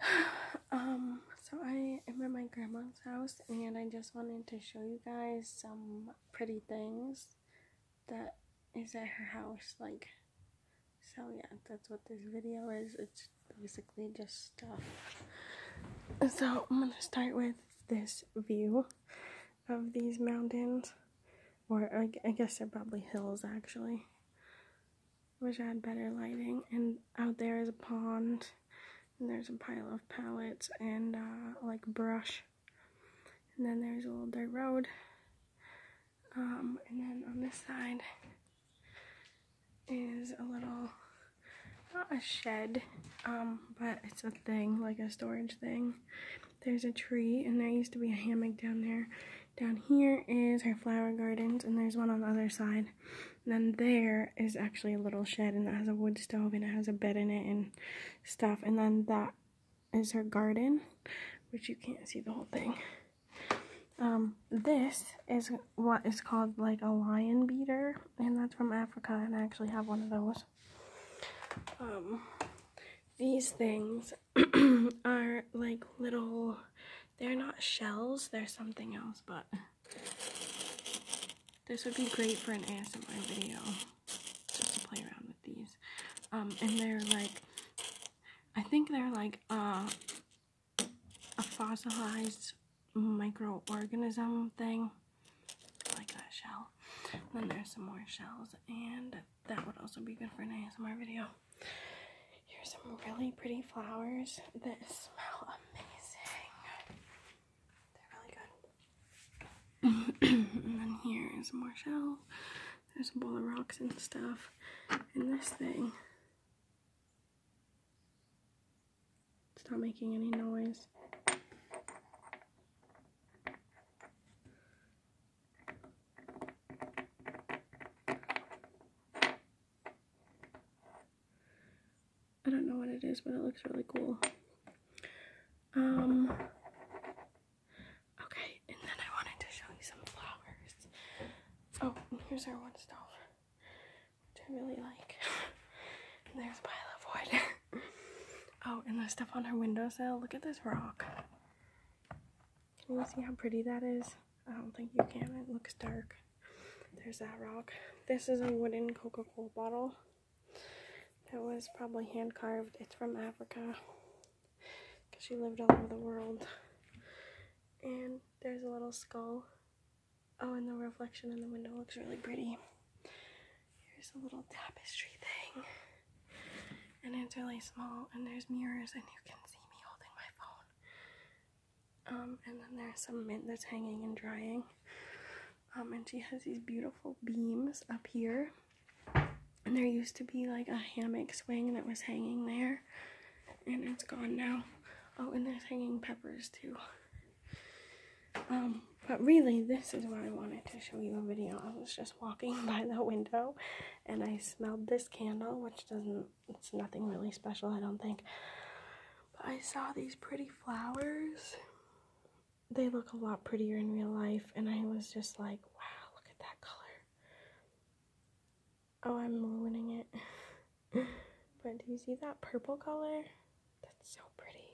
Hi. Um, so I am at my grandma's house and I just wanted to show you guys some pretty things that is at her house. Like, so yeah, that's what this video is. It's basically just stuff. So I'm gonna start with this view of these mountains or I, guess they're probably hills actually. Wish I had better lighting. And out there is a pond, and there's a pile of pallets and uh, like brush. And then there's a little dirt road. Um, and then on this side is a little, not a shed, um, but it's a thing, like a storage thing. There's a tree, and there used to be a hammock down there. Down here is her flower gardens, and there's one on the other side. then there is actually a little shed, and it has a wood stove, and it has a bed in it, and stuff. And then that is her garden, which you can't see the whole thing. Um, this is what is called like a lion beater, and that's from Africa, and I actually have one of those. Um, these things are like little, they're not shells, they're something else, but this would be great for an ASMR video, just to play around with these. Um, and they're like, I think they're like uh, a fossilized microorganism thing, like a shell. then there's some more shells, and that would also be good for an ASMR video. Here's some really pretty flowers that smell amazing. They're really good. and then here is more shells. There's a bowl of rocks and stuff. And this thing. It's not making any noise. I don't know what it is, but it looks really cool. Um, okay, and then I wanted to show you some flowers. Oh, here's our one stove, which I really like. and there's a pile of wood. oh, and the stuff on her windowsill. Look at this rock. Can you see how pretty that is? I don't think you can. It looks dark. There's that rock. This is a wooden Coca-Cola bottle. That was probably hand carved. It's from Africa. Because she lived all over the world. And there's a little skull. Oh, and the reflection in the window looks really pretty. Here's a little tapestry thing. And it's really small, and there's mirrors, and you can see me holding my phone. Um, and then there's some mint that's hanging and drying. Um, and she has these beautiful beams up here. And there used to be like a hammock swing that was hanging there, and it's gone now. Oh, and there's hanging peppers too. Um, but really, this is what I wanted to show you a video. I was just walking by the window and I smelled this candle, which doesn't, it's nothing really special, I don't think. But I saw these pretty flowers. They look a lot prettier in real life, and I was just like, wow, look at that color. Oh, I'm ruining it. but do you see that purple color? That's so pretty.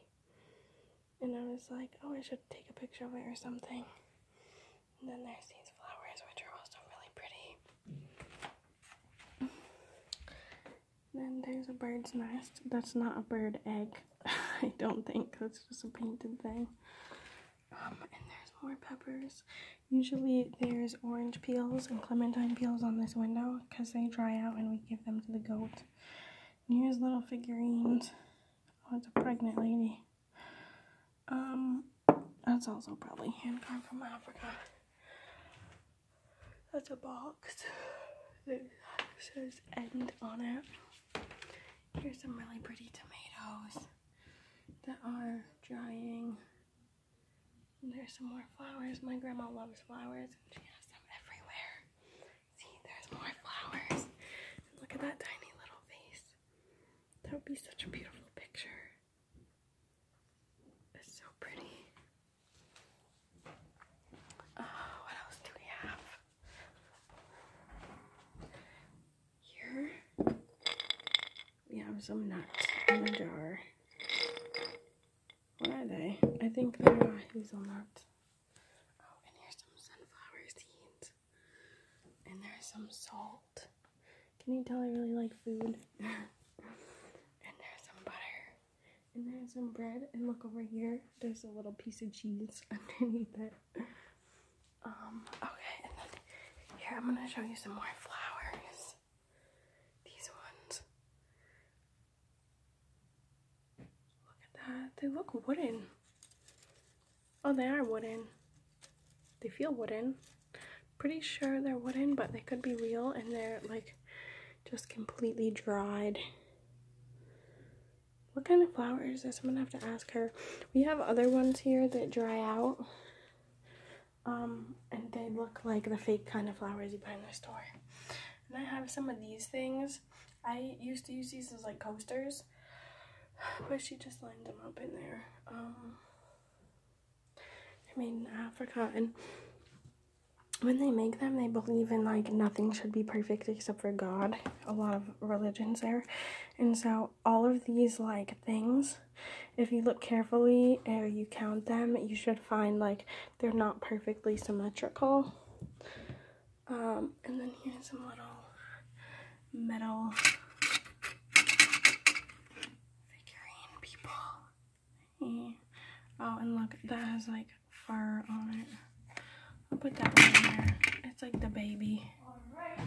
And I was like, oh, I should take a picture of it or something. And then there's these flowers, which are also really pretty. Then there's a bird's nest. That's not a bird egg, I don't think. That's just a painted thing. Um, and there's more peppers. Usually there's orange peels and clementine peels on this window because they dry out and we give them to the goat. And here's little figurines. Oh, it's a pregnant lady. Um, that's also probably hand carved from Africa. That's a box that says end on it. Here's some really pretty tomatoes that are drying. there's some more flowers. My grandma loves flowers and she has them everywhere. See, there's more flowers. And look at that tiny little face. That would be such a beautiful picture. It's so pretty. Oh, what else do we have? Here we have some nuts in a jar. What are they? I think they're uh, hazelnuts. Oh, and there's some sunflower seeds. And there's some salt. Can you tell I really like food? and there's some butter. And there's some bread. And look over here, there's a little piece of cheese underneath it. Um, okay, and then here I'm gonna show you some more flowers. These ones Look at that. They look wooden. Oh, they are wooden. They feel wooden. Pretty sure they're wooden, but they could be real and they're like just completely dried. What kind of flowers is this? I'm gonna have to ask her. We have other ones here that dry out. Um, and they look like the fake kind of flowers you buy in the store. And I have some of these things. I used to use these as like coasters, but she just lined them up in there. Um, they're made in Africa, and when they make them, they believe in like nothing should be perfect except for God. A lot of religions there, and so all of these like things, if you look carefully and you count them, you should find like they're not perfectly symmetrical. Um, and then here's a little metal figurine people. Yeah. Oh, and look, that has like fur on it. I'll put that one in there. It's like the baby. Right.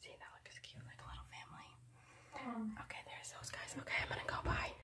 See, that looks cute, like a little family. Um, okay, there's those guys. Okay, I'm gonna go. buy.